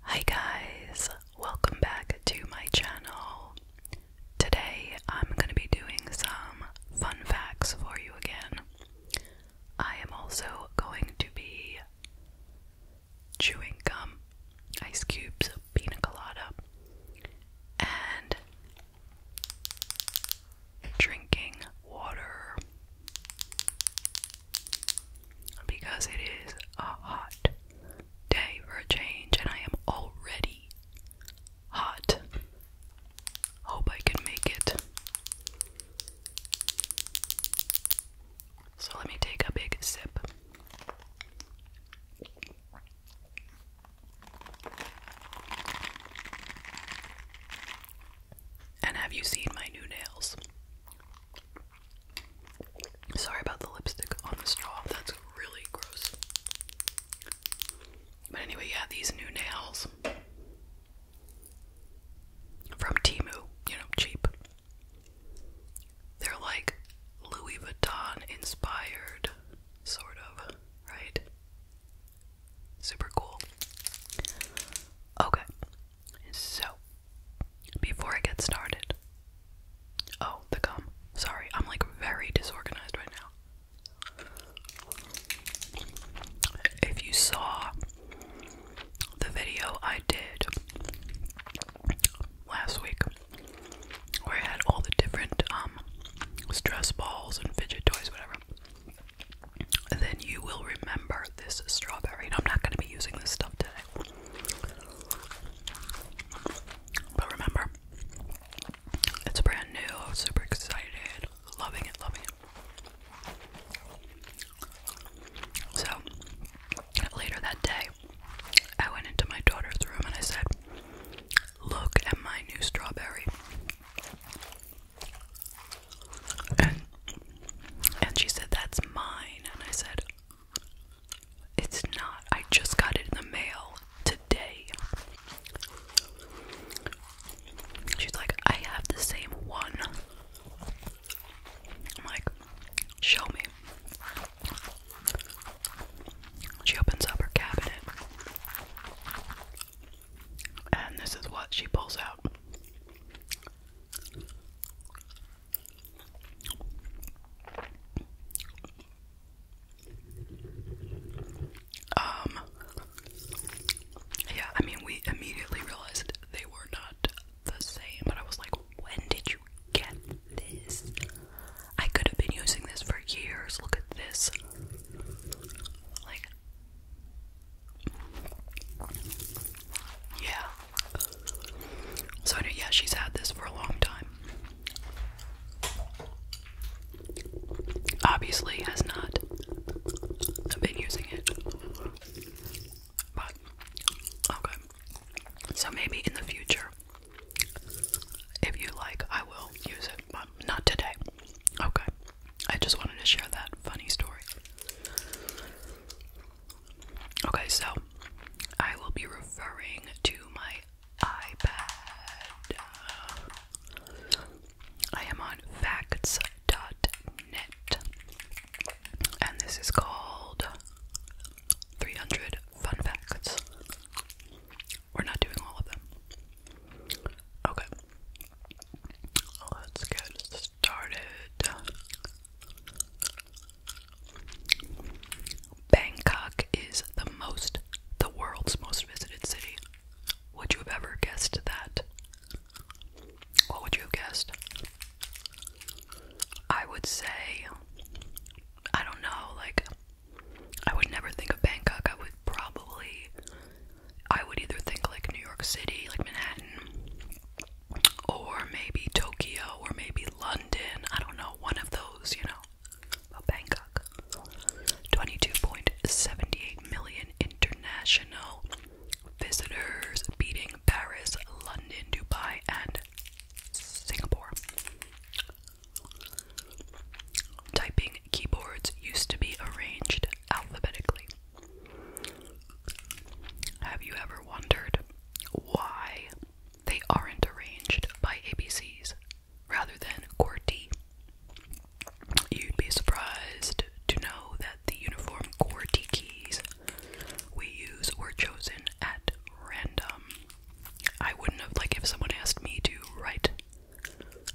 Hi guys, welcome back to my channel. Today I'm going to be doing some fun facts for you again. I am also going to be chewing gum, ice cubes, pina colada, and drinking water because it is a hot day for a change, and I am already hot. Hope I can make it. So let me take a big sip. And have you seen my new nails? Sorry about the lipstick on the straw. That's really gross. But anyway, yeah, these new nails from Timu, you know, cheap. They're like Louis Vuitton inspired, sort of, right? Super cool. Okay, so, before I get started, oh, the gum. Sorry, I'm like very disorganized right now. If you saw the video I did last week, where I had all the different um, stress balls and fidget toys, whatever. Then you will remember this strawberry. And I'm not going to be using this stuff today. But remember, it's brand new. I'm super excited. Loving it, loving it. So, later that day, I went into my daughter's room and I said, Look at my new strawberry. And, and she said, That's mine. And I said, it's not. I just got it in the mail today. She's like, I have the same one. I'm like, show me. She opens up her cabinet. And this is what she pulls out. Um, yeah, I mean, we immediately realized they were not the same, but I was like, when did you get this? I could have been using this for years. Look at this. Like, yeah, so, yeah, she's had this for a long time. Obviously, has not been using it. But, okay. So, maybe in the future, if you like, I will use it, but not today. Okay. I just wanted to share that funny story. Okay, so I will be referring to my iPad. I am on facts.net, and this is called 300 Fun Facts. We're not doing all of them. Okay, let's get started. Bangkok is the most, the world's most visited city. Would you have ever guessed that? What would you have guessed? I would say, I don't know, like, I would never think of Bangkok. I would probably, I would either think like New York City, like Manhattan, or maybe Tokyo, or maybe London. I don't know, one of those, you know. But Bangkok. 22.78 million international visitors, beating Paris, London, Dubai, and Singapore. Typing keyboards used to be arranged alphabetically. Have you ever wondered why they aren't arranged by ABCs rather than QWERTY. You'd be surprised to know that the uniform QWERTY keys we use were chosen at random. I wouldn't have, like, if someone asked me to write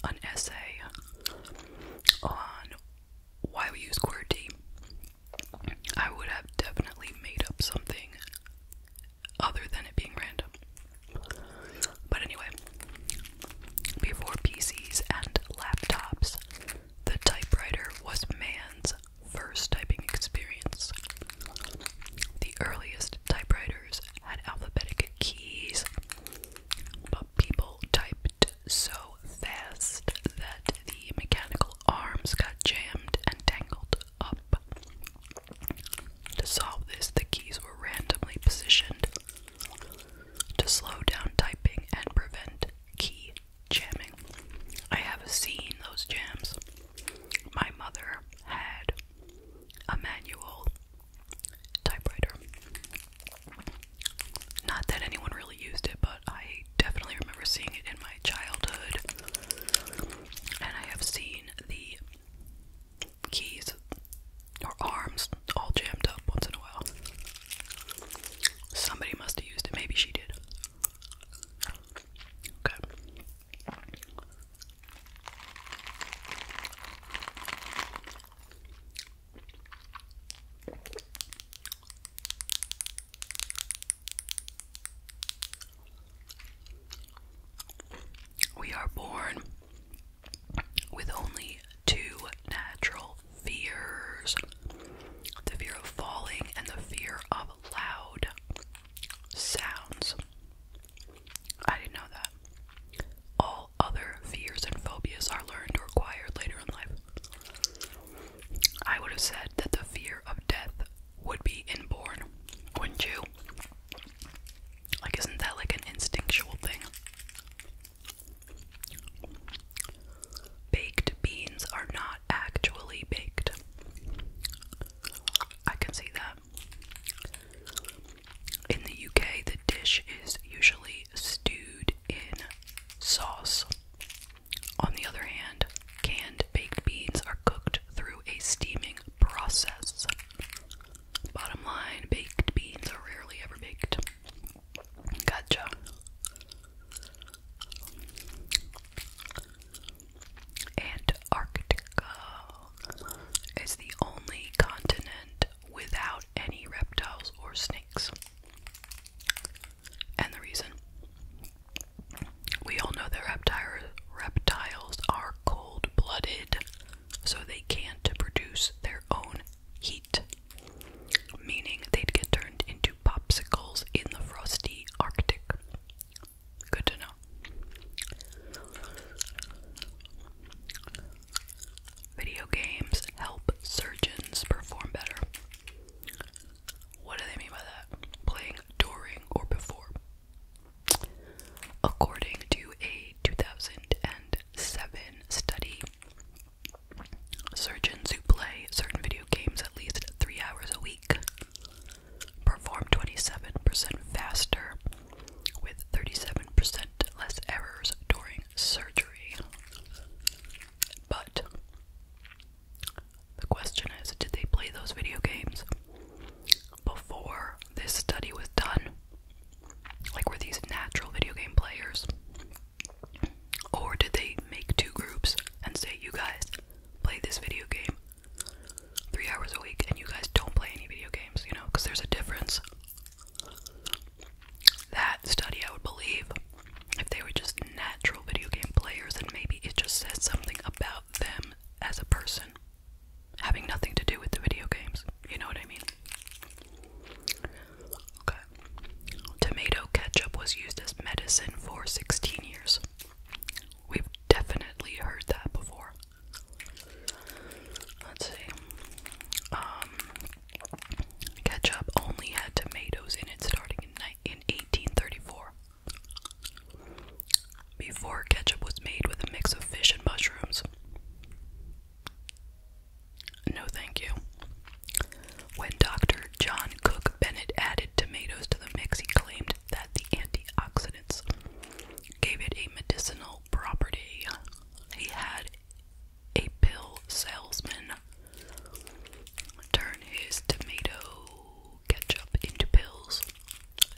an essay on why we use QWERTY, I would have definitely made up something other than it being random. But anyway, before PCs and laptops, the typewriter was man's first typing experience. The earliest typewriters had alphabetic keys, but people typed so fast that the mechanical arms got jammed and tangled up. To solve this, the keys were randomly positioned to slow down typing and prevent key jamming. I have seen those jams. My mother had a manual typewriter. Not that anyone really used it, but I I definitely remember seeing it in my childhood. And I have seen the keys or arms all jammed up once in a while. Somebody must have used it. Maybe she did. Okay. We are born with only two natural fears the fear of falling and the fear of loud sounds. I didn't know that. All other fears and phobias are learned or acquired later in life. I would have said that the fear of death would be inborn, wouldn't you? Like, isn't that like an instinctual thing? Baked beans are not actually baked. I can see that. In the UK, the dish is usually stewed in sauce. On the other hand, canned baked beans are cooked through a steaming process. Bottom line, baked beans are rarely ever baked. Gotcha. And Antarctica is the only continent without any reptiles or snakes and the reason. We all know that reptiles are cold blooded, so they can't produce their own heat, meaning they'd get turned into popsicles in the frosty Arctic. Good to know. Video games help surgeons perform better. What do they mean by that? Playing during or before. According to a 2007 study, surgeons who play certain video games at least three hours a week perform 27% faster with 37% less errors during surgery. But the question is did they play those video games before this study was done? Like, were these natural video game players? Or did they make two groups and say, you guys play this video game three hours a week and you guys don't play any video games, you know, because there's a difference? That study I would believe if they were just natural video game players, and maybe it just says something about them as a person, having nothing to do with the video games. You know what I mean? Okay. Tomato ketchup was used as medicine for 16 years. We've definitely heard that before. Let's see. Um, ketchup only had tomatoes in it starting in, in 1834. Before ketchup was made with a mix of fish and mushrooms. No, thank you. When Dr. John Cook Bennett added tomatoes to the mix, he claimed that the antioxidants gave it a medicinal property. He had a pill salesman turn his tomato ketchup into pills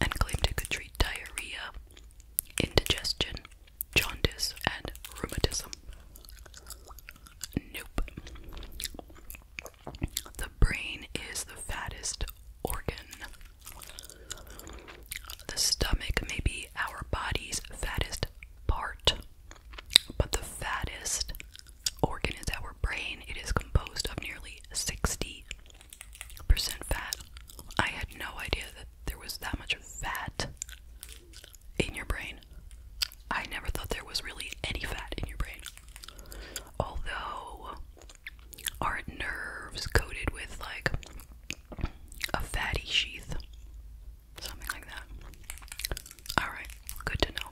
and claimed it could treat diarrhea, indigestion, jaundice, and rheumatism. Nope. The brain is the fattest organ. The stomach may be our body's fattest part, but the fattest organ is our brain. It is composed of nearly 60% fat. I had no idea that there was that much fat in your brain. I never thought there was really any fat in your brain. Although, aren't nerves coated with like a fatty sheath? Something like that. Alright, good to know.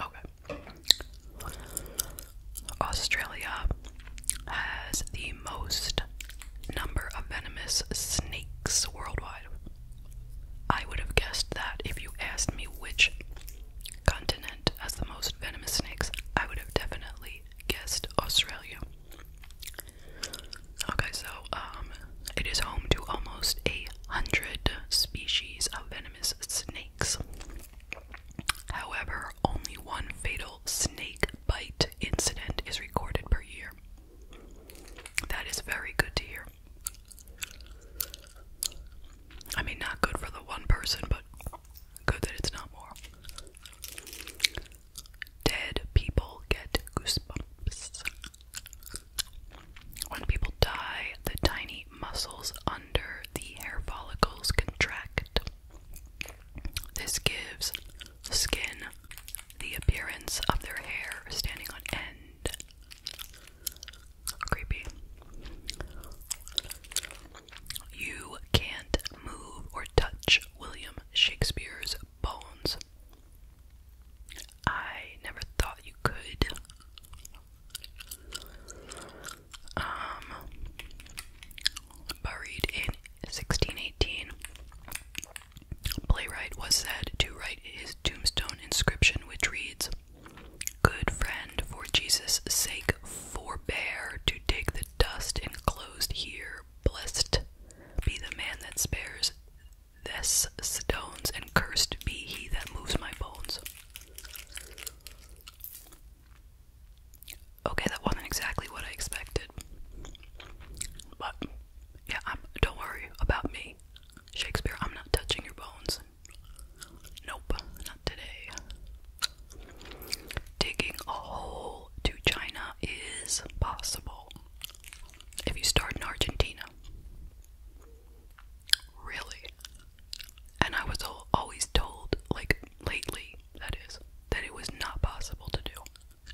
Okay. Australia has the most number of venomous snakes worldwide. I would have guessed that if you asked me which continent has the most venomous snakes, I would have definitely guessed Australia. Okay, so um, it is home to almost a hundred species of venomous snakes. However, only one fatal snake bite incident is recorded per year. That is very good to hear. I mean, not good for the one person, but good that it's not more. Dead people get goosebumps. When people die, the tiny muscles under the hair follicles contract. This gives skin the appearance of their hair standing on end. Creepy. You can't move or touch William Shakespeare's bones I never thought you could. Um, buried in 1618, Playwright was said to write his tombstone inscription, which reads, Good friend, for Jesus' sake, forbear to dig the dust enclosed here. Blessed be the man that spares this stones, and cursed be he that moves my bones. Okay, that wasn't exactly what I expected. But, yeah, don't worry about me. Shakespeare, I'm not touching your bones. Nope, not today. Digging a hole to China is possible if you start in Argentina. Really? And I was always told, like lately, that is, that it was not possible to do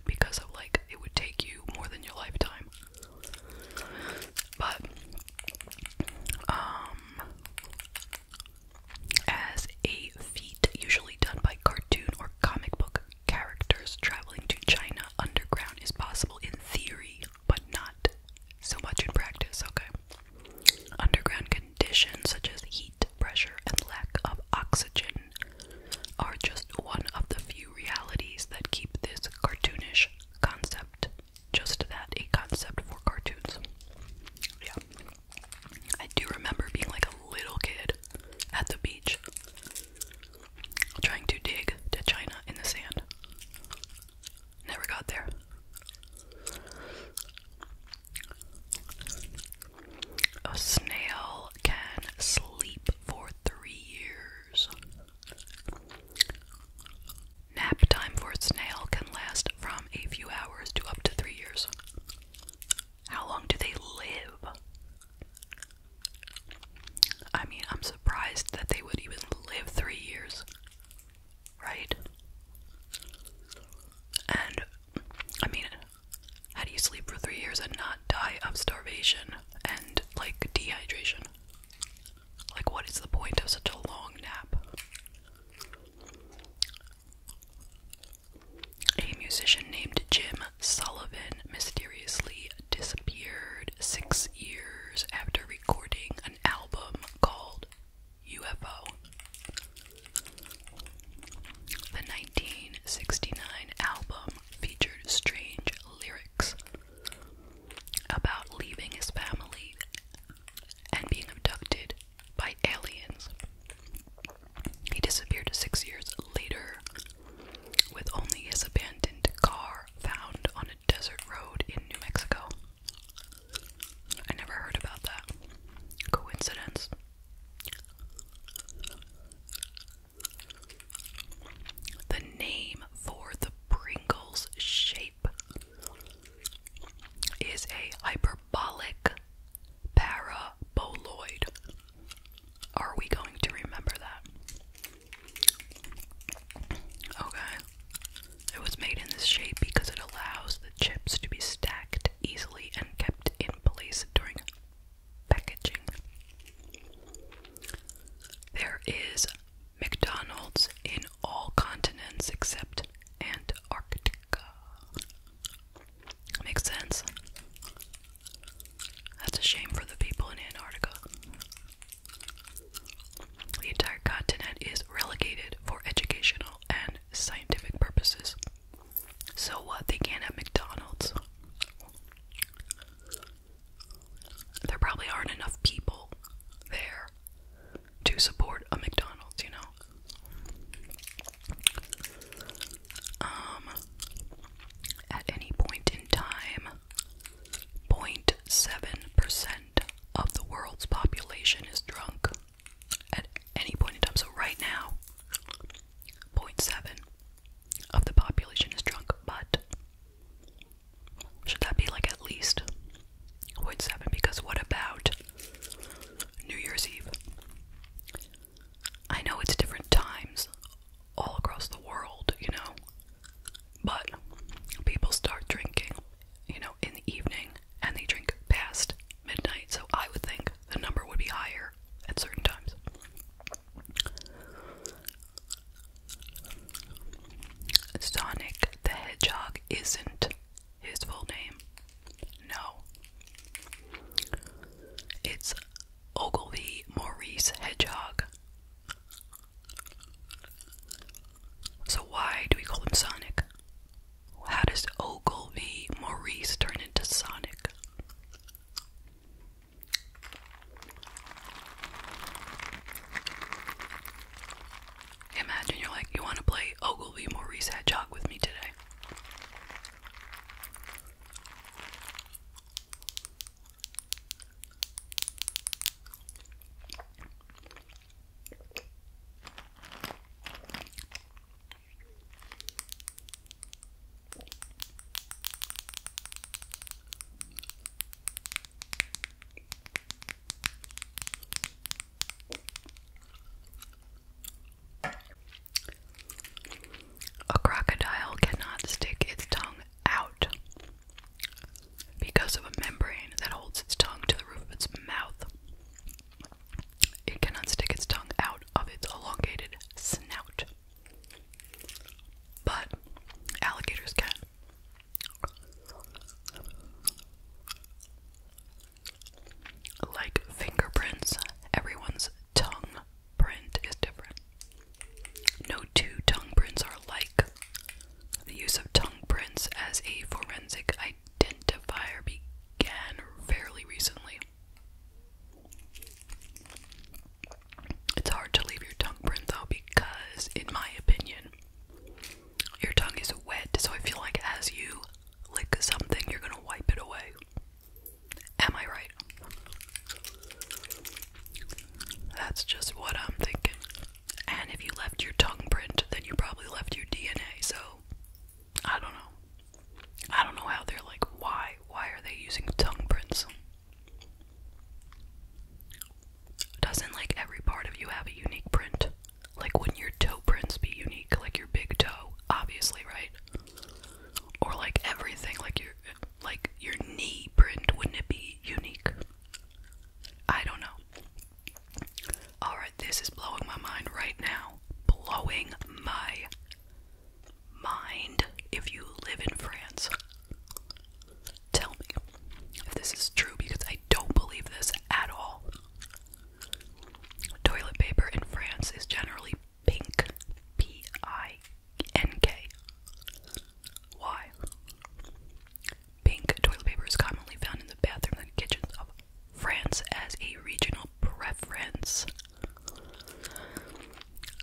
because of like it would take you more than your lifetime. But, um, as a feat usually done by cartoon or comic book characters traveling to China underground is possible in theory but not so much in practice, okay? Underground conditions such as heat, pressure, and lack of oxygen are just one of the few realities that keep this cartoonish concept just that a concept for cartoons. Yeah. I do remember being like a little kid at the beach trying to dig to China in the sand. Never got there. A snail can sleep for three years. Nap time for a snail can last from a few hours to up to three years. How long do they live? I mean, I'm surprised that they would even live three years, right? And I mean, how do you sleep for three years and not die of starvation and like dehydration? Like, what is the point of such a long nap? A musician named Jim Sullivan mysteriously disappeared six years after recording an album called UFO. The 1969 album featured strange lyrics about leaving his family and being abducted by aliens. He disappeared six years later with only his abandoned car found on Desert Road in New Mexico. I never heard about that. Coincidence. The name for the Pringles shape is a hyperbolic paraboloid. Are we going to remember that? Okay. It was made in this shape because it allows the chips to be stacked easily and kept in place during packaging. There is McDonald's in all continents except Antarctica. Makes sense. That's a shame for the people in Antarctica. The entire continent is relegated for educational and scientific purposes. So what they can have McDonald's? There probably aren't enough people there to support a McDonald's, you know. Um at any point in time 0.7% of the world's population is drunk at any point in time. So, right now, 0.7 of the population is drunk, but should that be like at least 0.7? Because what about New Year's Eve? I know it's different times all across the world, you know. But people start drinking, you know, in the evening and they drink past midnight, so I would think the number would be higher at certain times. Sonic the Hedgehog isn't his full name. No. It's Ogilvy Maurice Hedgehog. So why do we call him Sonic? How does Ogilvy Maurice turn into Sonic? Imagine you're like, you want to play Ogilvy Maurice Hedgehog with me today. A crocodile cannot stick its tongue out. Because of a membrane that holds its tongue to the roof of its mouth, it cannot stick its tongue out of its elongated snout. But alligators can. Like fingerprints, everyone's tongue print is different. No two tongue prints are alike. The use of tongue prints as a forensic identifier began fairly recently. It's hard to leave your tongue print though, because, in my opinion, your tongue is wet, so I feel like as you lick something, you're gonna wipe it away. Am I right? That's just what I'm thinking. And if you left your tongue print, then you probably left your DNA. So I don't know. I don't know how they're like, why? Why are they using tongue prints? Doesn't like every part of you have a unique print? Like, wouldn't your toe prints be unique? Like your big toe, obviously, right? Or like everything, like your like your knee print, wouldn't it be unique? I don't know. Alright, this is blowing my mind right now. Blowing my mind. If you live in France, tell me if this is true because I don't believe this at all. Toilet paper in France is generally pink. P I N K. Why? Pink toilet paper is commonly found in the bathroom and kitchens of France as a regional preference.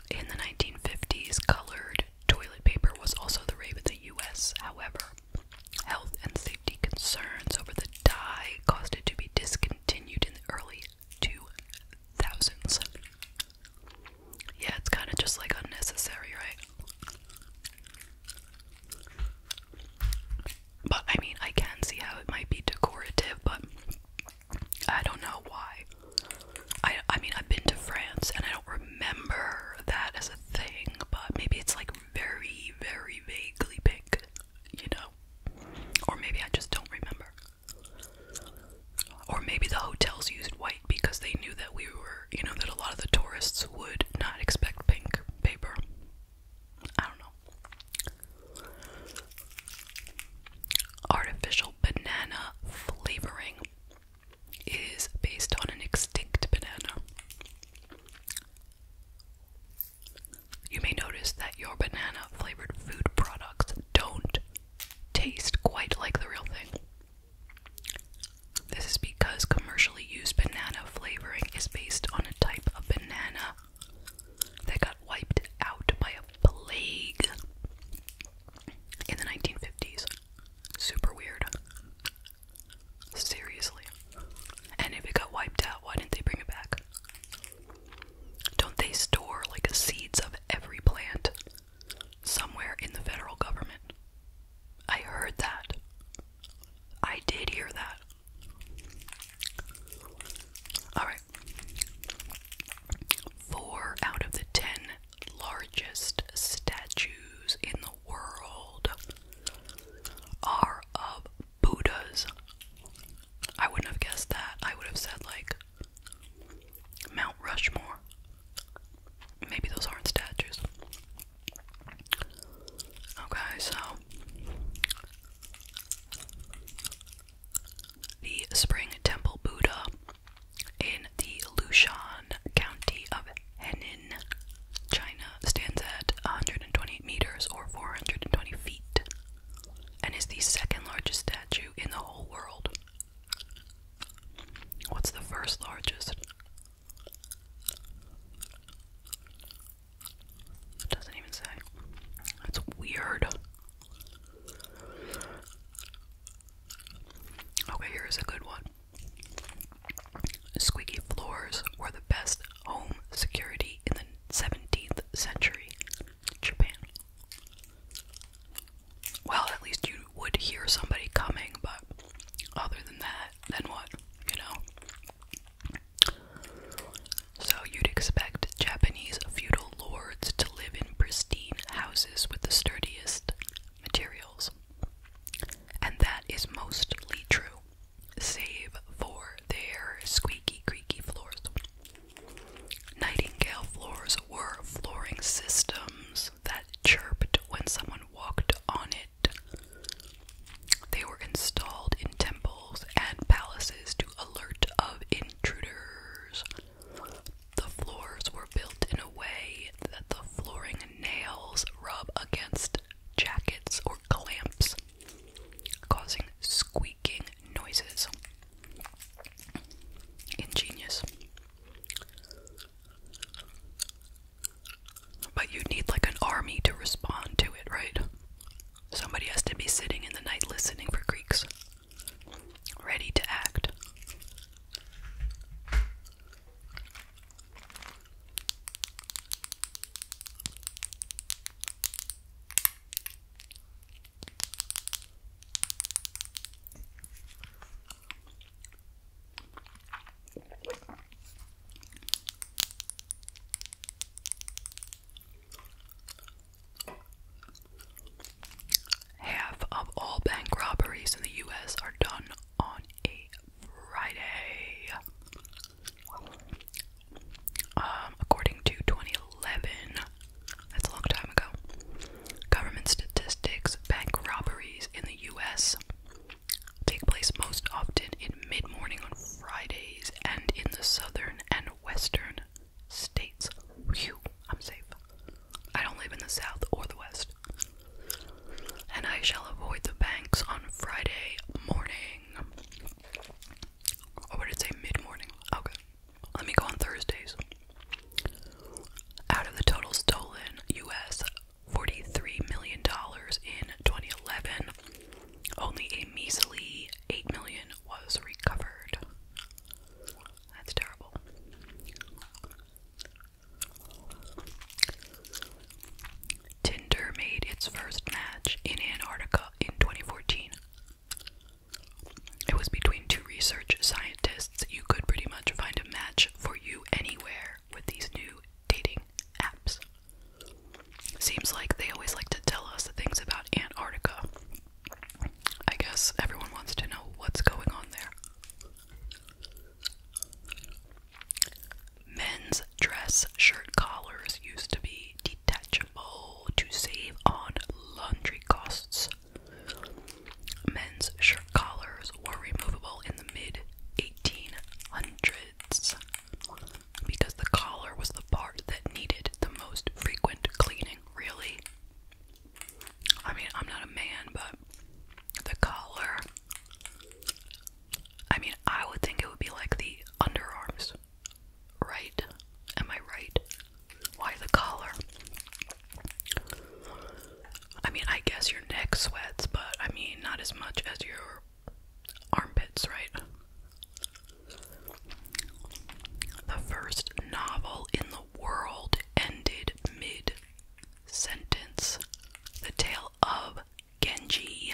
In the 1950s, colored toilet paper was also the rave in the US. However, health and safety concerns over the dye caused it to be discontinued in the early 2000s. Yeah, it's kind of just like unnecessary, right? But I mean, I can see how it might be decorative, but I don't know why. I, I mean, I've been to France and I don't remember that as a thing, but maybe it's like very, very vaguely pink, you know? Or maybe I just don't remember. Or maybe the hotels used white because they knew that we were you know, that a lot of the tourists would not expect pink paper. I don't know. Artificial banana flavoring is based on an extinct banana. You may notice that your banana flavored food products don't taste quite like the real thing. This is because commercially used banana flavoring is based on a type of banana that got wiped out by a plague in the 1950s. Super weird. Seriously. And if it got wiped out, why didn't they bring it back? Don't they store like seeds of every plant somewhere in the federal government? I heard that. I did hear that. Alright. Four out of the ten largest statues in the world are of Buddhas. I wouldn't have guessed that. I would have said, like, Mount Rushmore. Maybe those aren't statues. Okay, so the Spring Temple Buddha in the Lushan County of Henan, China, stands at 120 meters or 420 feet and is the second largest statue in the whole world. What's the first largest? It doesn't even say. That's weird. Okay, here's a good one. Squeaky floors were the best home security in the 17th century. Japan. Well, at least you would hear somebody coming, but other than that, then what? You know? So you'd expect Japanese feudal lords to live in pristine houses with the sturdiest materials. And that is mostly true, save for their squeaky, creaky floors. Nightingale floors were flooring systems that chirped when someone walked on it. They were installed in temples and palaces to alert of intruders. The floors were built in a way that the flooring nails rub against jackets or clamps, causing squeaking noises. Ingenious. But you'd need like an army to respond to it, right? Somebody has to be sitting in the night listening for Greeks, ready to act. Half of all bank robberies in the US are done on a Friday. Um, according to 2011, that's a long time ago, government statistics, bank robberies in the US take place most often in mid morning on Fridays and in the southern and western states. I'm safe. I don't live in the south or the west. And I shall avoid the banks on Friday morning. Or oh, did it say mid morning? Okay. Let me go on Thursdays. Out of the total stolen US $43 million in 2011. Only a measly $8 was recovered. That's terrible. Tinder made its first match in Antarctica in 2014. It was between two research scientists. You could pretty much find a match for you anywhere with these new dating apps. Seems like they always like to tell us things about Antarctica. I guess everyone wants to know what's going on there. Men's dress shirt collars used to be detachable to save on laundry costs. Men's shirt collars were removable in the mid 1800s because the collar was the part that needed the most frequent cleaning, really. I mean, I'm not a man, but the collar. I mean, I would think it would be like the underarms, right? Am I right? Why the collar? I mean, I guess your neck sweats, but I mean, not as much as your armpits, right? The first novel in the world ended mid sentence. The Tale of Genji,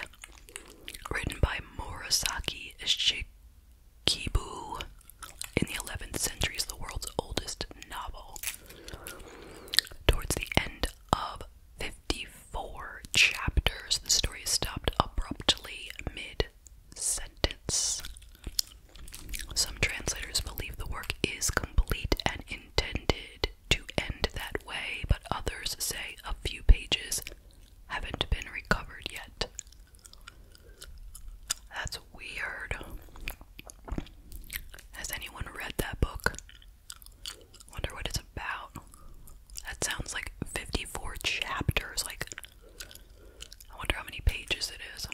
written by Murasaki Shikibu in the 11th century, is the world's oldest novel. Towards the end of 54 chapters. The story is stopped abruptly mid sentence. Some translators believe the work is complete and intended to end that way, but others say a few pages haven't been recovered yet. That's weird. Has anyone read that book? Wonder what it's about. That sounds like 54 chapters. Like, I wonder how many pages it is.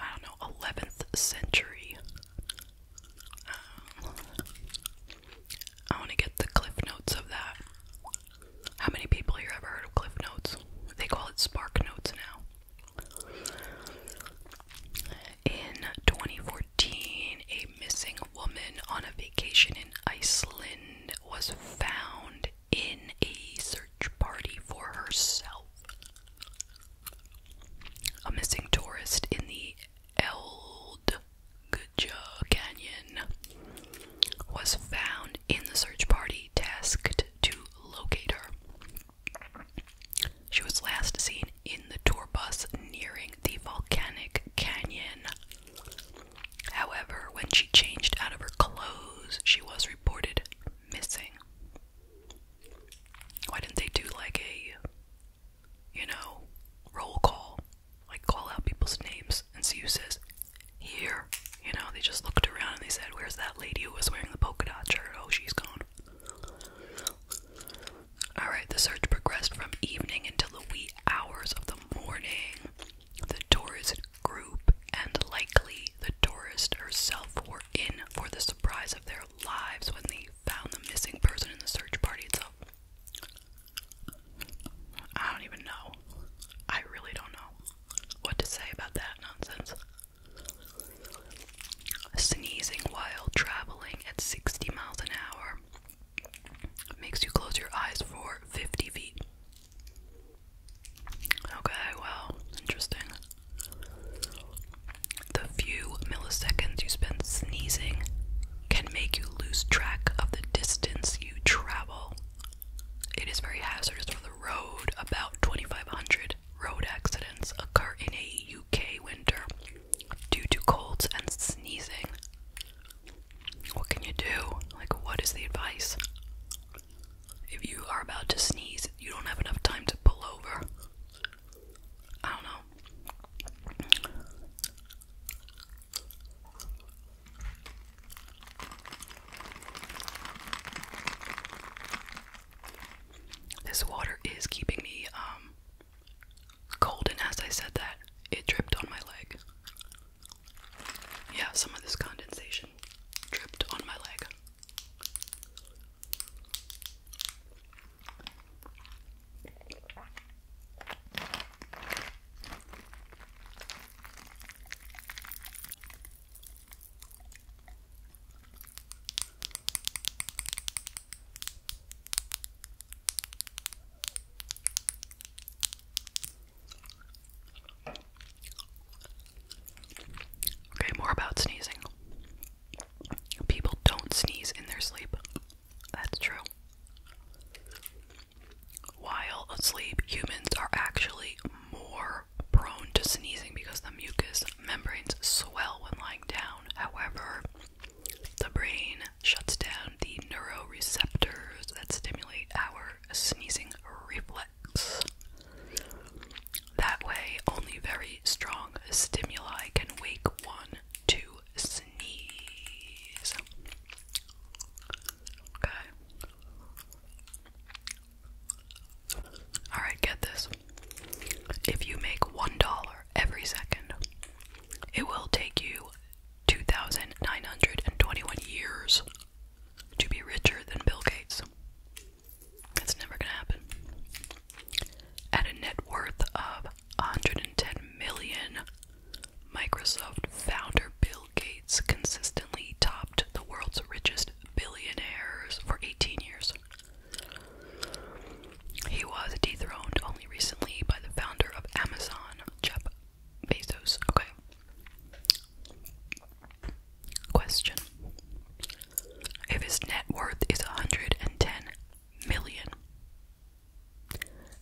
I don't know, 11th century. Um, I want to get the cliff notes of that. How many people here ever heard of cliff notes? They call it spark notes now. In 2014, a missing woman on a vacation in Iceland was found in a search party for herself. A missing tourist in the Eldguja Canyon was found in the search party tasked to locate her. She was last seen in the tour bus nearing the volcanic canyon. However, when she changed out of her clothes, she was reported missing. Why didn't they do like a, you know, roll call? Like call out people's names and see who says, here. You know, they just looked around and they said, where's that lady who was wearing the polka dot shirt? Oh, she's gone. Alright, the search progressed from evening until the wee hours of the morning. The tourist group and likely the tourist herself were in for the surprise of their lives when they found the missing person in the search party itself. I don't even know. I really don't know what to say about that nonsense. Sneezing while traveling at 60 miles an hour makes you close your eyes for 50 feet. Okay, well, interesting. The few milliseconds you spend sneezing can make you lose track of the distance you travel. It is very hazardous for the road. About 2,500 road accidents occur in a UK winter due to colds and sneezing. What can you do? Like, what is the advice? If you are about to sneeze, you don't have enough time to pull over. I don't know. This water is keeping me um, cold, and as I said that, it dripped on my leg. Yeah, some of this condensation dripped on my leg. Okay, more about sneezing. People don't sneeze in their sleep. That's true. While asleep, humans are actually more prone to sneezing because the mucous membranes swell when lying down. However, the brain shuts down the neuroreceptors that stimulate our sneezing reflex. That way, only very strong stimuli can wake one to sneeze. Okay. Alright, get this. If you make $1 every second, it will take you 2,921 years to be richer than Bill Gates. That's never gonna happen. At a net worth of 110 million, Microsoft founder Bill Gates consistently topped the world's richest billionaires for 18 years. He was dethroned only recently by the founder of Amazon, Jeff Bezos. Okay. Question. If his net worth is 110 million,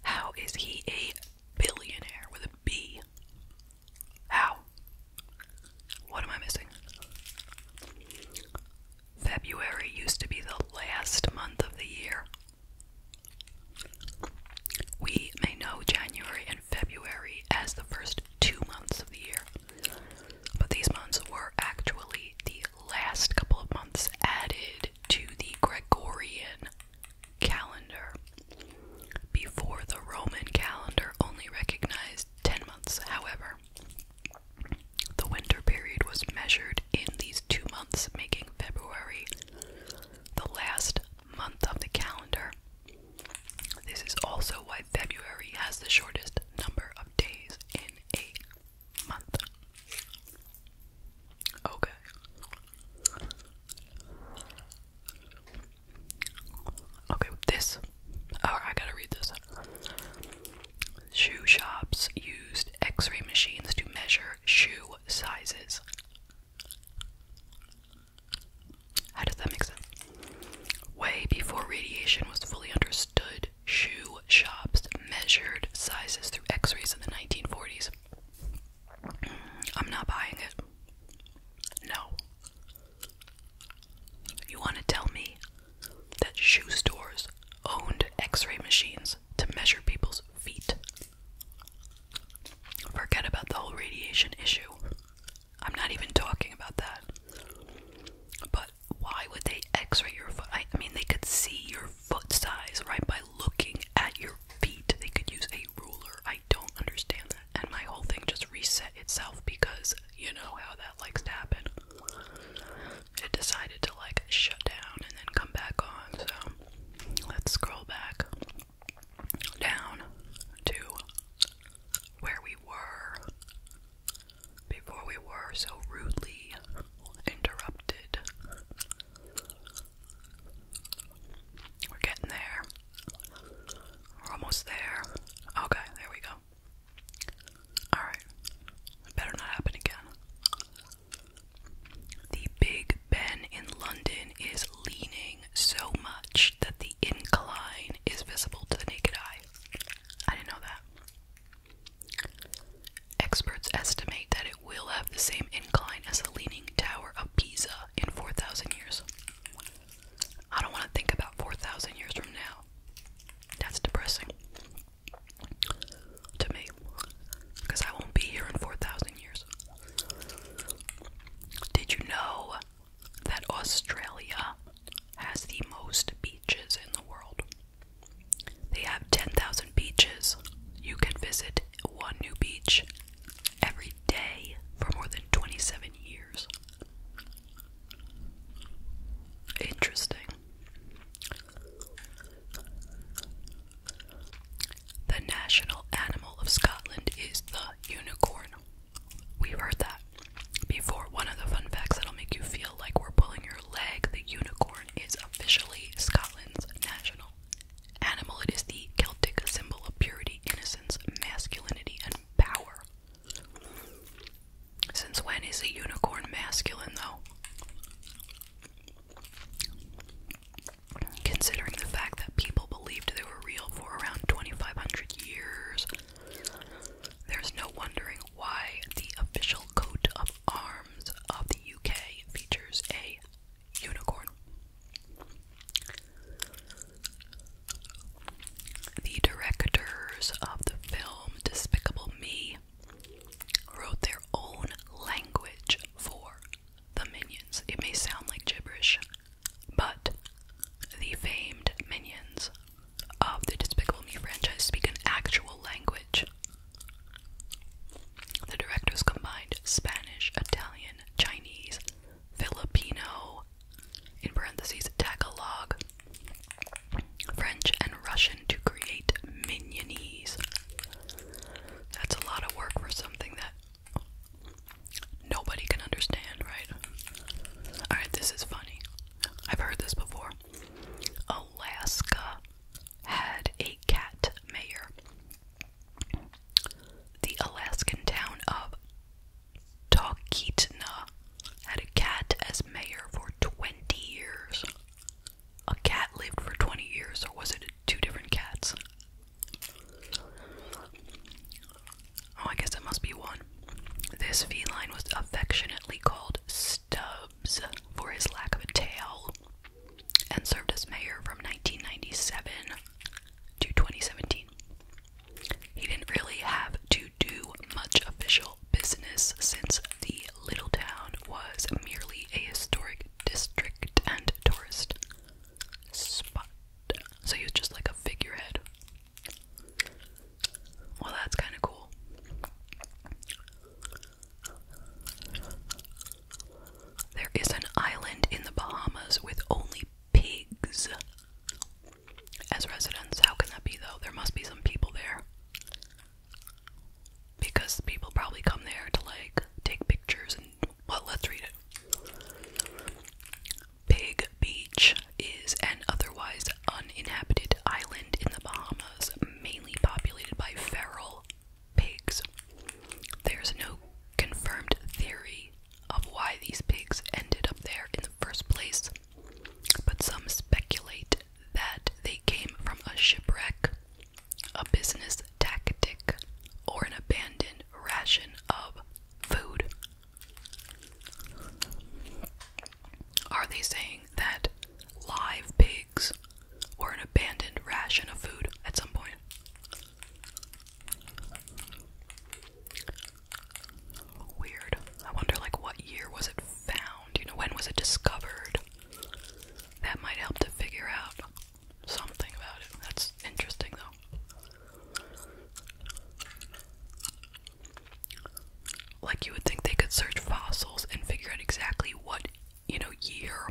how is he a billionaire with a B? How? What am I missing? February used to be the last month of the year. We may know January and February as the first two months of the year, but these months were actually the last couple of months added to the Gregorian calendar. Before the Roman calendar only recognized 10 months, however, the winter period was measured in these two months, making February the last month of the calendar. This is also why February has the shortest number of days in a month. Okay. Okay, this. Oh, I gotta read this. Shoe shops used x ray machines to measure shoe sizes. How does that make sense? Way before radiation was fully understood, shoe shops measured sizes through x rays in the 1940s. I'm not buying it. No. You want to tell me that shoe stores owned x ray machines? to measure people's feet. Forget about the whole radiation issue. I'm not even talking about that. But why would they x ray your foot? I mean, they could see your foot size, right, by looking at your feet. They could use a ruler. I don't understand that. And my whole thing just reset itself because you know how that likes to happen it decided to like shut down and then come back on. So let's scroll back down to where we were before we were so rudely interrupted. We're getting there. We're almost there. Okay, there we go. Alright. Better not happen again. The Big Ben in London is leaning so much that the incline is visible to the naked eye. I didn't know that. Experts estimate that it will have the same incline as the Leaning Tower of Pisa in 4,000 years. I don't want to think about 4,000 years from now. That's depressing to me because I won't be here in 4,000 years. Did you know that Australia has the most beaches in the world? They have 10,000 beaches. You can visit one new beach every day for more than 27 years. Interesting. The national animal of Scotland is the unicorn. We've heard that before. One of the fun facts that'll make you feel like we're pulling your leg the unicorn is officially Scotland's national animal. It is the Celtic symbol of purity, innocence, masculinity, and power. Since when is a unicorn masculine, though? Considering the fact that people believed they were real for around 2500 years, there's no wondering why the official coat of arms of the UK features a unicorn. The directors of the film Despicable Me wrote their own language for the minions. It may sound like gibberish, but the famed minions of the Despicable Me franchise speak an actual language. The directors combined Spanish, Italian, Chinese, Filipino, in parentheses, Tagalog, French and Russian to create mignonese. That's a lot of work for something that nobody can understand, right? Alright, this is funny. I've heard this before. Alaska had a cat mayor. The Alaskan town of Talkeetna had a cat as mayor for 20 years a cat lived for 20 years, or was it two different cats? Oh, I guess it must be one. This feline was affectionately called Stubbs for his lack of a tail and served as mayor from 1997 to 2017. He didn't really have to do much official business since the little town was merely a historic district and tourist spot. So he was just like a figurehead. Well, that's kind of cool. There is an island in the Bahamas with only pigs as residents. How can that be, though? There must be some people there. Because people probably come there to like take pictures and well, let's read it. Pig Beach is an otherwise uninhabited island in the Bahamas, mainly populated by feral pigs. There's no confirmed theory of why these pigs ended up there in the first place, but some speculate that they came from a shipwreck a business tactic, or an abandoned ration of food. Are they saying that live pigs or an abandoned ration of food at some point? Weird. I wonder, like, what year was it found? You know, when was it discovered? That might help to figure out something about it. That's interesting, though. Like, you would think they could search fossils and figure out exactly what, you know, year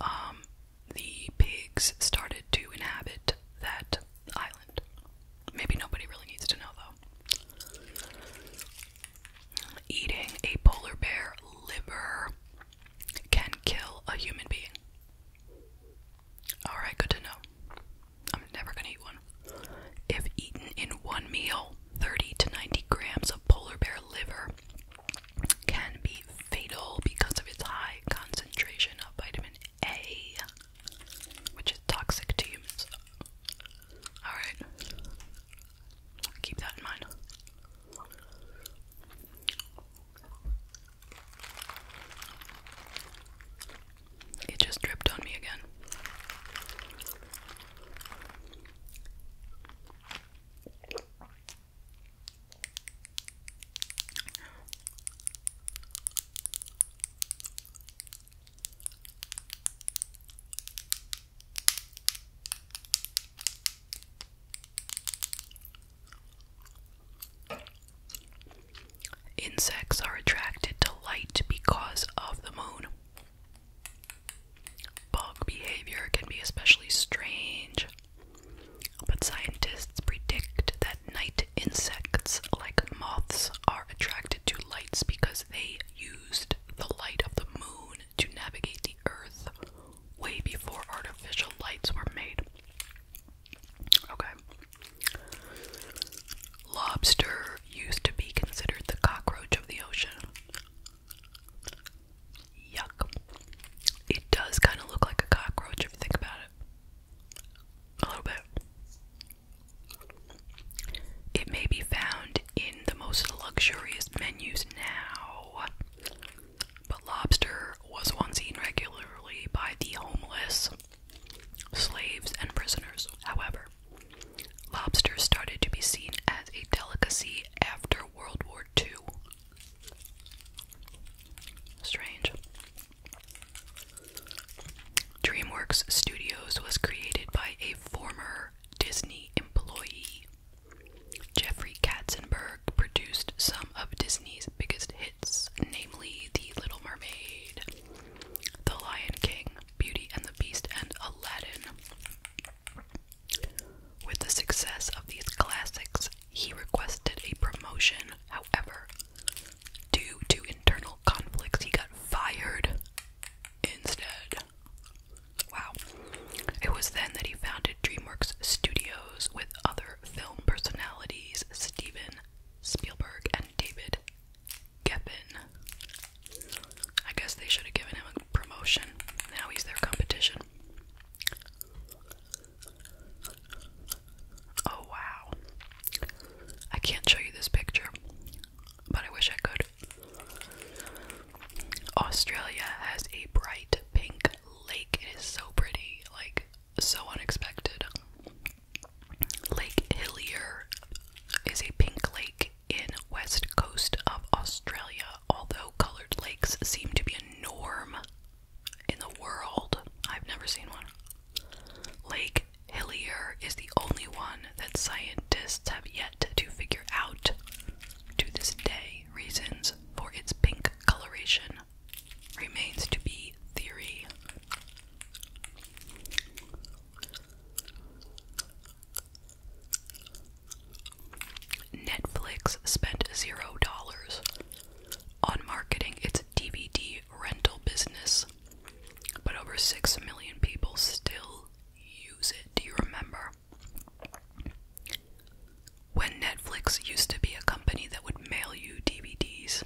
um, the pigs started to inhabit that island. Maybe nobody really needs to know, though. Eating a polar bear liver can kill a human being. Alright, good to know. I'm never gonna eat one. If eaten in one meal, 30 to 90 grams of polar bear liver can be fatal because of its high concentration of vitamin A, which is toxic to humans. Alright. Keep that in mind. It just dripped on me again. Insects are attracted to light because of the moon. Bug behavior can be especially strange, but scientists predict that night insects, like moths, are attracted to lights because they used the light of the moon to navigate the earth way before artificial lights were made. Okay. Lobster used to be considered the cockroach of the ocean. Yuck. It does kind of look like a cockroach if you think about it. A little bit. It may be found in the most luxurious menus now. But lobster was once eaten regularly by the homeless, slaves, and prisoners. However, lobster started to be seen as a delicacy after World War II. Strange. DreamWorks Studios was created by a former Disney employee Jeffrey Katzenberg produced some of Disney's biggest hits, namely The Little Mermaid, The Lion King, Beauty and the Beast, and Aladdin. With the success of these classics, he requested a promotion. However, due to internal conflicts, he got fired instead. Wow. It was then that he founded DreamWorks Studios with other film personalities Steven Spielberg and David Geffen. I guess they should have given him a promotion. Now he's their competition. Oh wow. I can't show you this picture but I wish I could. Australia has a bright pink lake. It is so pretty, like so unexpected. Lake Hillier is a pink lake in west coast of Australia, although colored lakes seem to be a norm in the world. I've never seen one. Lake Hillier is the only one that scientists have yet to figure out, to this day, reasons for its pink coloration. Remains to be theory. Netflix spent zero dollars on marketing its DVD rental business, but over six million people still use it. Do you remember? When Netflix used to be a company that would mail you DVDs,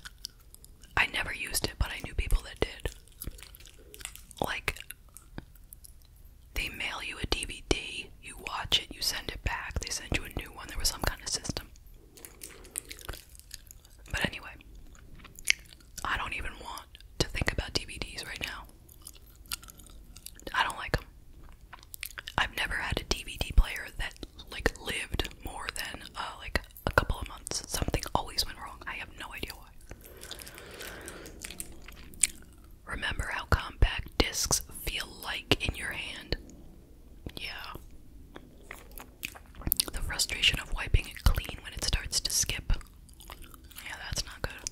I never used it, but I knew people that did. Like, they mail you a DVD, you watch it, you send it back, they send you a new one. There was some kind of system. But anyway, I don't even want to think about DVDs right now. I don't like them. I've never had a DVD player that like lived more than uh, like a couple of months. Something always went wrong. I have no idea why. Remember how compact discs feel like in your hand? Yeah. The frustration of wiping it clean when it starts to skip. Yeah, that's not good.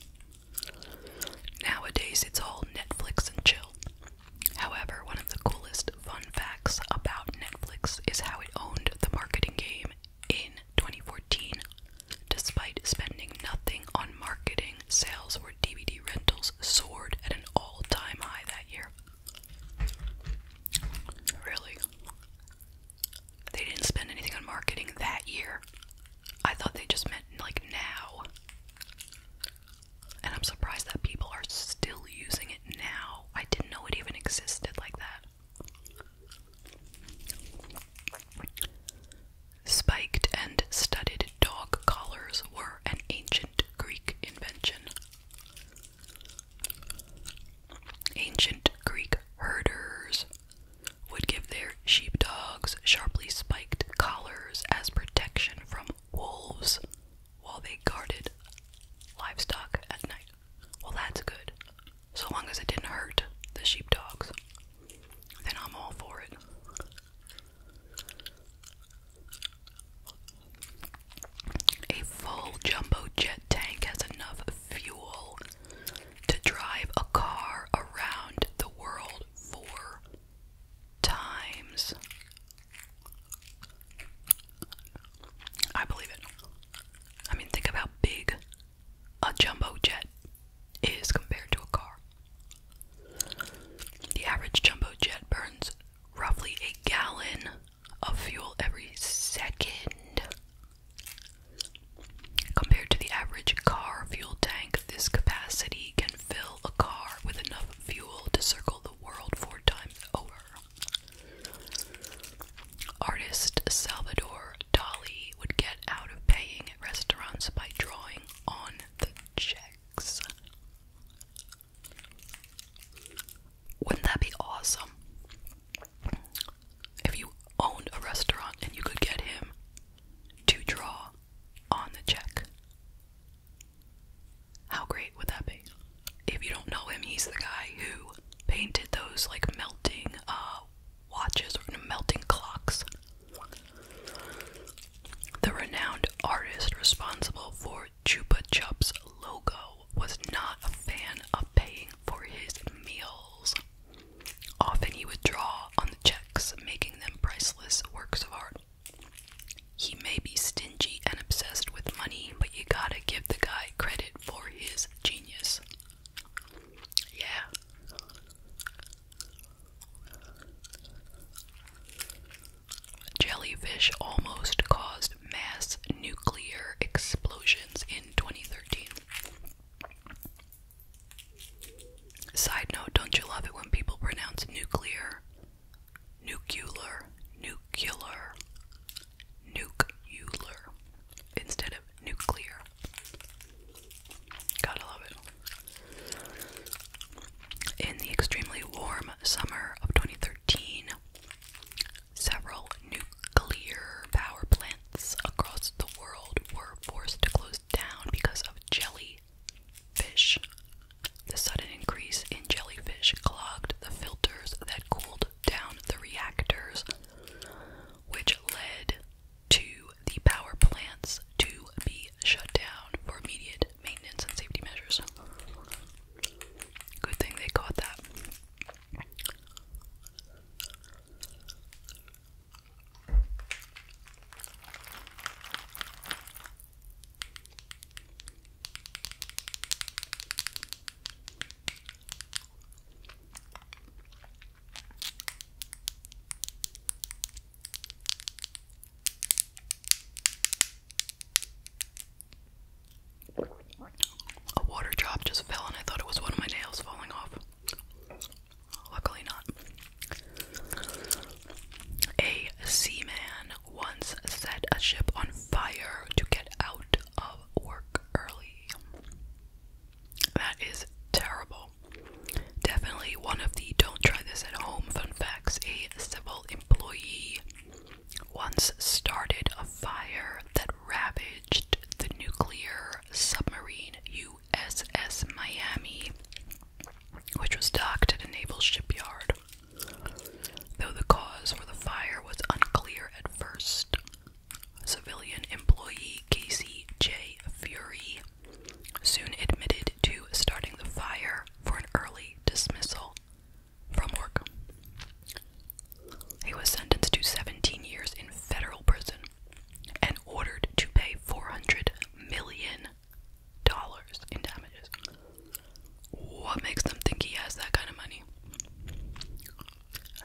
Nowadays, it's all Netflix and chill. However, one of the coolest fun facts about Netflix is how it owned the marketing game in 2014. Despite spending nothing on marketing, sales or DVD rentals soared at an all time high that year. Really? They didn't spend anything on marketing that year. I thought they just meant like now. And I'm surprised that people are still using it now. I didn't know it even existed like that. Spiked and studded dog collars were an ancient Greek invention. Ancient Greek herders would give their sheepdogs sharply spiked collars as protection from wolves while they guarded livestock at night. Well, that's good. So long as it didn't hurt the sheepdogs, then I'm all for it. A full jumbo jet tank has enough fuel to drive a car around the world four times. I believe it. I mean, think of how big a jumbo jet is compared to a car. The average jumbo jet burns roughly a gallon of fuel every second. Compared to the average car fuel tank, this capacity can fill a car with enough fuel to circle the world four times over. Artist Salvador Dali would get out of paying at restaurants by drawing on the checks. Wouldn't that be awesome? If you owned a restaurant and you could get him to draw on the check. How great would that be? If you don't know him, he's the guy who painted those like melting uh, watches or melting clocks. The renowned artist responsible for Chupa Chups logo was not a fan of paying for his meals. Often he would draw on the checks, making them priceless works of art. He may be stingy and obsessed with money, but you gotta give the guy credit for his genius. Yeah. Jellyfish almost caused mass nuclear explosions in 2013. Side note, don't you love it when people pronounce nuclear, nuclear, nuclear, nuclear instead of nuclear? Gotta love it. In the extremely warm summer of 2013, several nuclear power plants across the world were forced to close down because of jellyfish. The sudden increase in jellyfish clogged the filters that cooled down the reactors, which led to the power plants to be shut down for immediate maintenance and safety measures. Good thing they caught that. A water drop just fell and I thought it was one of my nails falling off. Luckily not. A seaman once set a ship on fire to get out of work early. That is terrible. Definitely one of the don't try this at home fun facts. A civil employee once started a fire that ravaged the nuclear submarine USS Miami which was docked at a naval shipyard, though the cause for the fire was unclear at first. Civilian employee Casey J. Fury soon admitted to starting the fire for an early dismissal from work. He was sentenced to 17 years in federal prison and ordered to pay $400 million in damages. What makes them think he has that kind of money?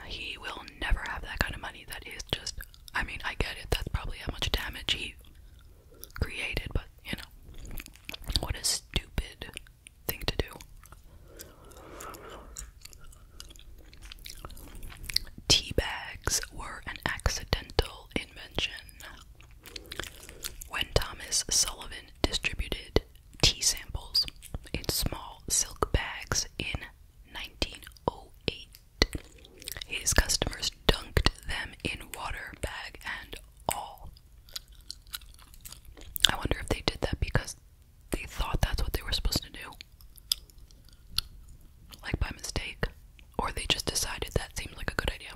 He will never have that kind of money. That is just, I mean, I get it. That's probably how much damage he created, but you know, what a stupid thing to do. Tea bags were an accidental invention. When Thomas Sullivan distributed tea samples in small silk bags in 1908, his customers dunked them in water, bag and all. I wonder if they did that because they thought that's what they were supposed to do like by mistake, or they just decided that seems like a good idea.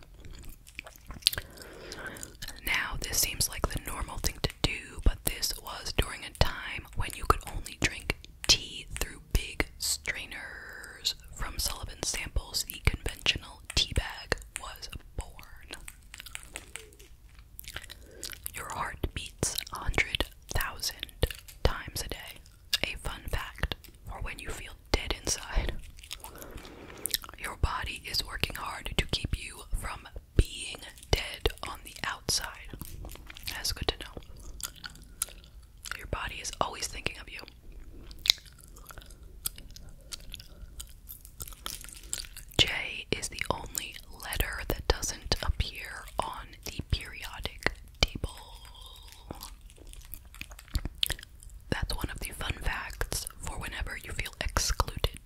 Now, this seems like the normal thing to do, but this was during a time when you could only drink tea through big strainers. From Sullivan's samples, the conventional tea bag was born. Your heart beats 100,000 times a day a fun fact for when you feel dead inside. Your body is working hard to keep you from being dead on the outside. That's good to know. Your body is always thinking of you. J is the only letter that doesn't appear on the periodic table. That's one of the fun facts for whenever you feel excluded.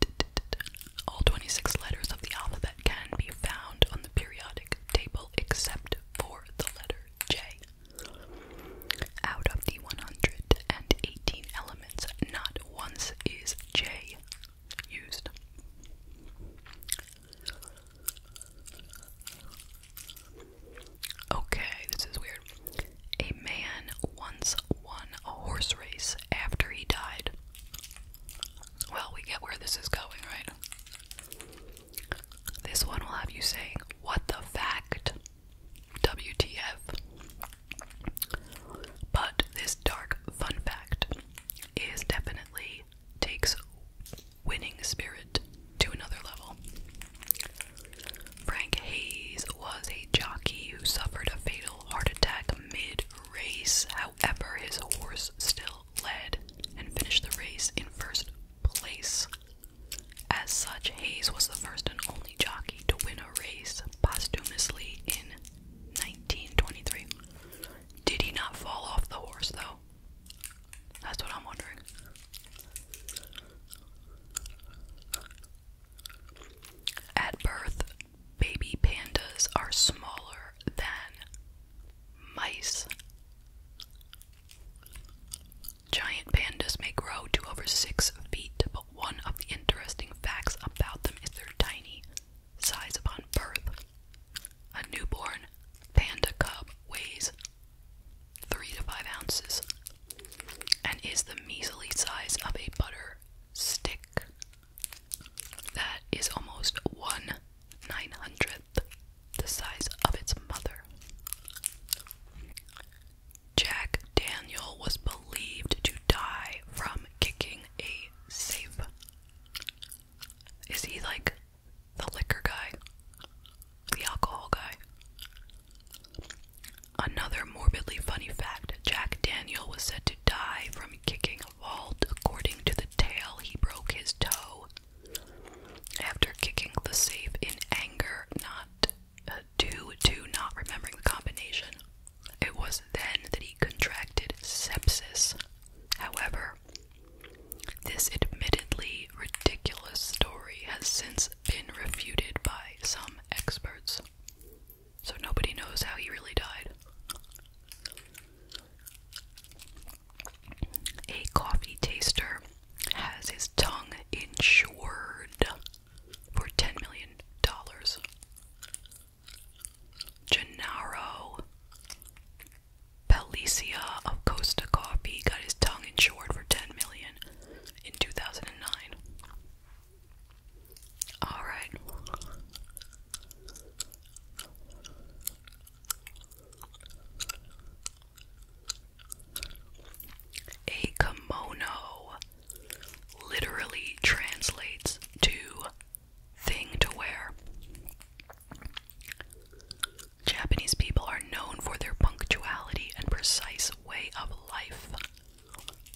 All 26 letters of the alphabet can be found on the periodic table except for the letter J. Out of the 118 elements, not once is J used. Okay, this is weird. A man once won a horse race after he died. Well, we get where this is going, right? This one will have you saying, What the fact? WTF. But this dark fun fact is definitely takes winning spirit to another level. Frank Hayes was a jockey who suffered a fatal heart attack mid race. However, his horse still led and finished the race in first place. As such, Hayes was the first and only jockey to win a race posthumously in 1923. Did he not fall off the horse, though? That's what I'm wondering. At birth, baby pandas are smaller than mice. Giant pandas may grow to over six feet, but one of the interesting facts about them is their tiny size upon birth. A newborn panda cub weighs three to five ounces, and is the measly size of a butter stick. That is almost one nine hundredth the size of its mother. Jack Daniel was believed to die from kicking a safe. Is he like the liquor guy, the alcohol guy. Another morbidly funny fact Jack Daniel was said to die from kicking a vault. According to the tale, he broke his toe after kicking the safe in anger, not uh, due to not remembering the combination. It was then that he contracted sepsis. However, this admittedly ridiculous story has since been refuted by some experts, so nobody knows how he really died. A coffee taster has his tongue insured for $10 million. Gennaro Palicia of Costa Coffee got his tongue insured for 10 10 million in 2009. All right. A kimono literally translates to thing to wear. Japanese people are known for their punctuality and precise way of life,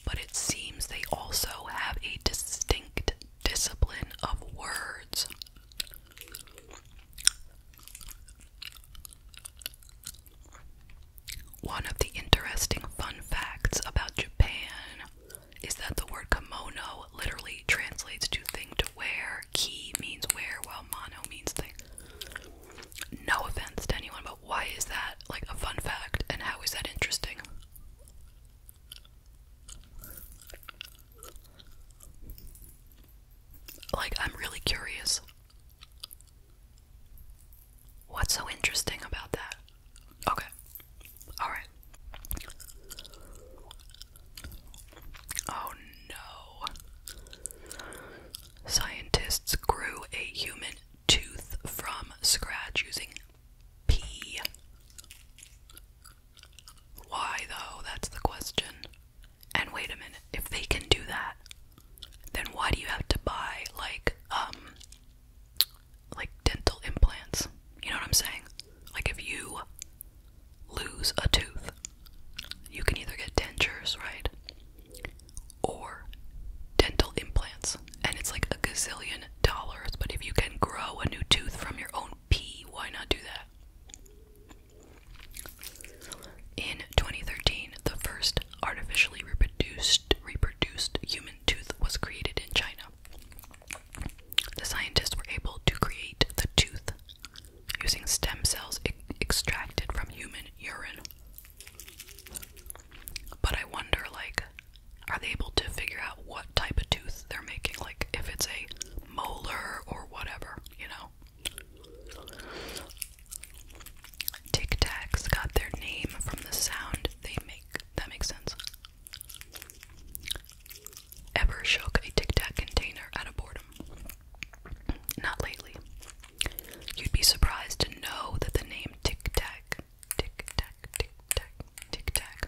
but it seems they also have a distinct discipline of words. One of the interesting fun facts about Japan is that the word kimono literally translates to thing to wear Key means where, while mono means thing. No offense to anyone, but why is that like a fun fact and how is that interesting? Like, I'm really curious. What's so interesting about that? Okay. Alright. Oh no. Scientists grew a human tooth from scratch using pee. Why, though? That's the question. And wait a minute, if they can do that, then why do you have to buy, like, um, like dental implants? You know what I'm saying? Like, if you lose a tooth, you can either get dentures, right? Or dental implants. And it's like a gazillion dollars, but if you can grow a new tooth from your own pee, why not do that? In 2013, the first artificially reproduced human tooth was created in China. The scientists were able to create the tooth using stem cells extracted from human urine. But I wonder, like, are they able to figure out what type of tooth they're making? Like, if it's a molar or whatever, you know? Tic Tacs got their name from the sound they make. That makes sense. Ever shook a Tic Tac container out of boredom? Not lately. You'd be surprised to know that the name Tic Tac, Tic Tac, Tic Tac, Tic Tac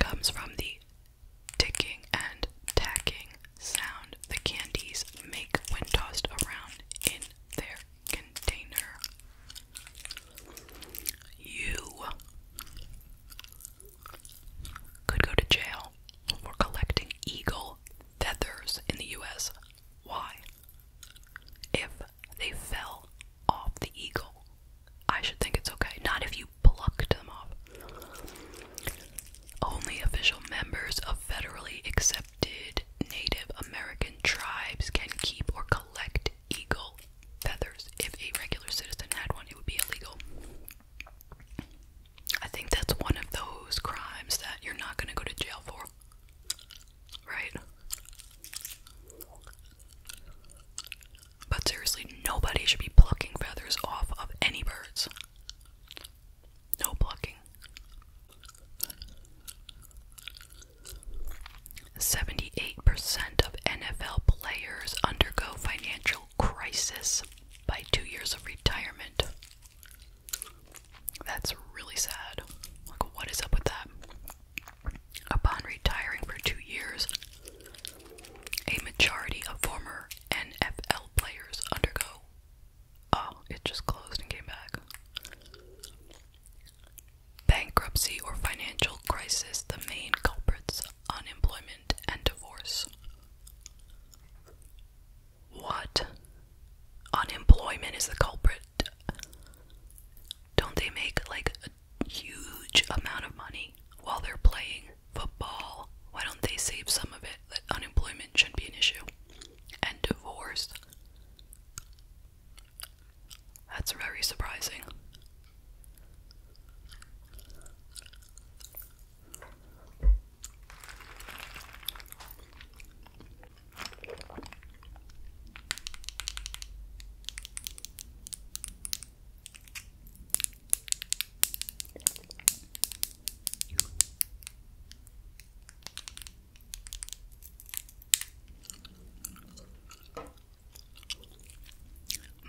comes from the ticking and tacking sound the candies make when tossed around in their container. You could go to jail for collecting eagle feathers in the US. Why? If they fell off the eagle, I should think it's okay. Not if you plucked them off. Only official members of federally accepted Native American tribes can keep or collect eagle feathers. If a regular citizen had one, it would be illegal. I think that's one of those crimes that you're not going to go to jail for. Right? But seriously, nobody should be plucking feathers off of any birds. No plucking. 78% of NFL players undergo financial crisis by two years of retirement. That's really sad. Like, what is up with that? Upon retiring for two years, a majority of former NFL players undergo. Oh, it just closed and came back. Bankruptcy or financial crisis, the main culprits, unemployment and divorce. What? Unemployment is the culprit. Don't they make like a huge amount of money while they're playing football? Why don't they save some of it? That unemployment shouldn't be an issue. And divorce. That's very surprising.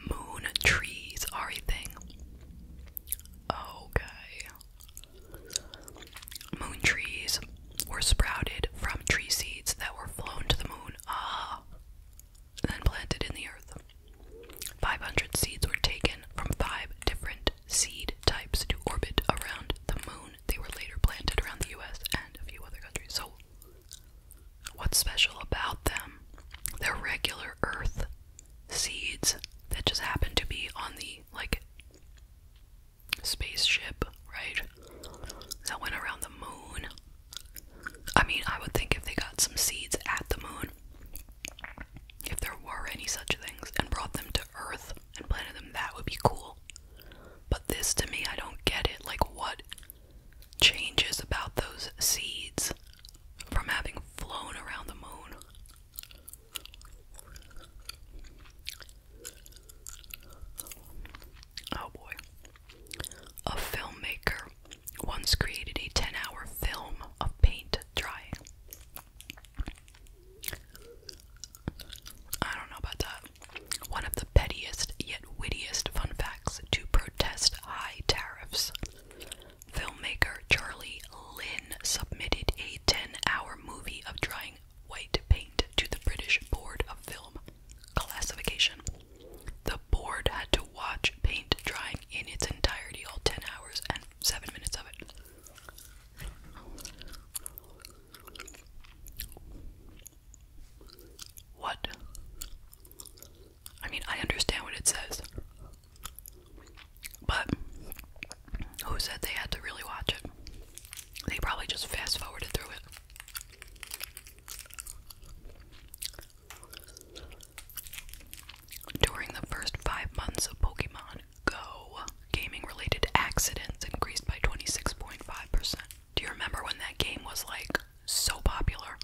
Moon trees are a thing. Okay. Moon trees were sprouted from tree seeds that were flown to the moon, ah, and planted in the earth. 500 seeds were taken from five different seed types to orbit around the moon. They were later planted around the US and a few other countries. So, what's special about them? They're regular earth seeds that just happen to be on the like spaceship, right? That went around the moon. I mean, I would think if they got some seeds at the moon, if there were any such things, and brought them to Earth and planted them, that would be cool. But this to me, I don't get it. Like, what changes about those seeds from having flown around the moon? Oh boy. A filmmaker once created a 10 hour film of paint drying. I don't know about that. One of the pettiest yet wittiest fun facts to protest high tariffs. Filmmaker Charlie Lynn submitted a 10 hour movie of drying white paint to the British Board of Film Classification. The board had to watch paint drying in its entirety, all 10 hours and 7 minutes of it. What? I mean, I understand what it says. But who said they had to really watch it? They probably just fast forwarded through it. During the first five months of Pokemon Go, gaming related accidents increased by 26.5%. Do you remember when that game was like so popular?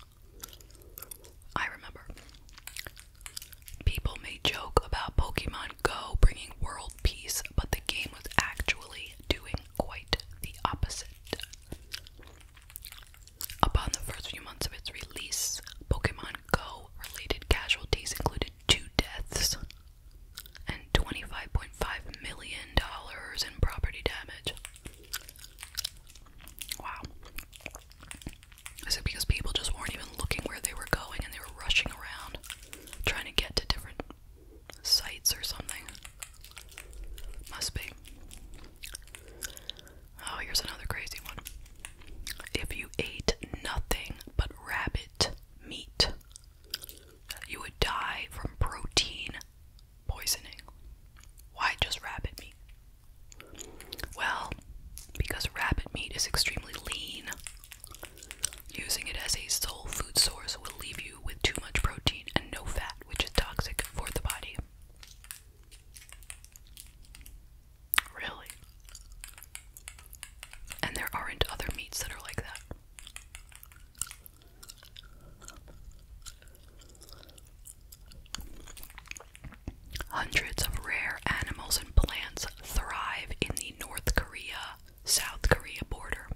I remember. People may joke about Pokemon Go bringing world peace, but the game was actually doing quite the opposite. Upon the first few months of its release, Pokemon Go related casualties included two deaths and $25.5 million in property damage. Wow. I said because people just weren't even looking where they were going and they were rushing around trying to get to different sites or something. Must be. Oh, here's another crazy one. If you ate nothing but rabbit meat, you would die from protein poisoning. Why just rabbit meat? Well, because rabbit meat is extremely lean Using it as a sole food source will leave you with too much protein and no fat, which is toxic for the body. Really? And there aren't other meats that are like that. Hundreds of rare animals and plants thrive in the North Korea South Korea border.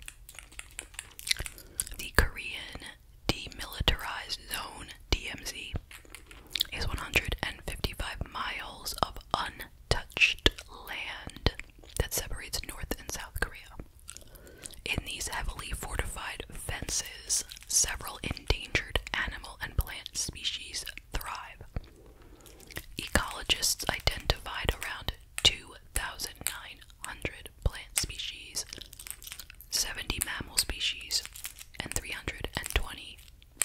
The Korean Demilitarized Zone DMZ is 155 miles of untouched land that separates North and South Korea. In these heavily fortified fences, several endangered animal and plant species Ecologists identified around 2,900 plant species, 70 mammal species, and 320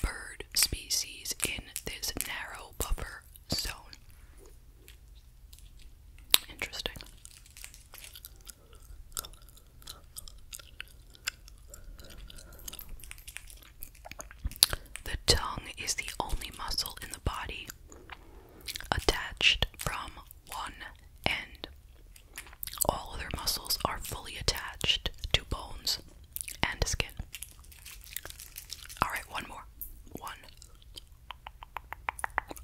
bird species in this narrow buffer zone. Interesting. The tongue is the only muscle in the body attached from one end. All other muscles are fully attached to bones and skin. Alright, one more. One.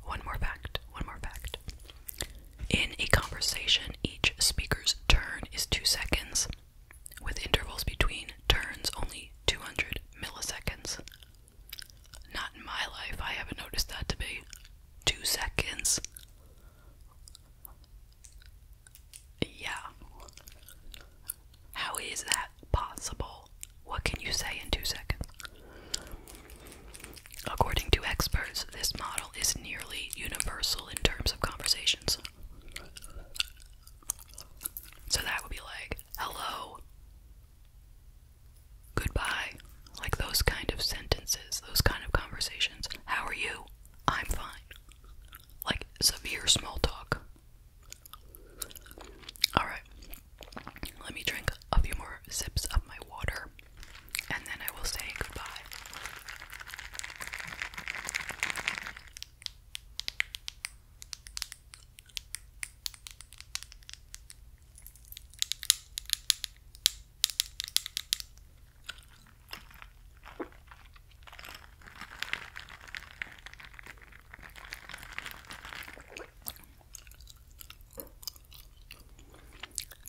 One more fact. One more fact. In a conversation, each speaker's turn is two seconds with intervals between turns only 200 milliseconds. Not in my life, I haven't noticed that to be two seconds. Yeah. How is that possible? What can you say in two seconds? According to experts, this model is nearly universal in terms of conversations. So that would be like, hello, goodbye. Like those kind of sentences, those kind of conversations. How are you? I'm fine. Like severe small talk. Alright, let me drink a few more sips of my water and then I will say goodbye.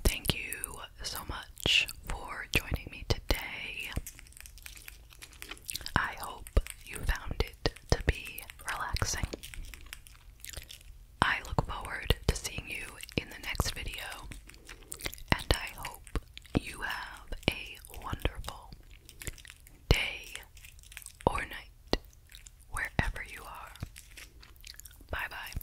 Thank you so much for joining me today. I hope you found it to be relaxing. I look forward to seeing you in the next video, and I hope you have a wonderful day or night wherever you are. Bye bye.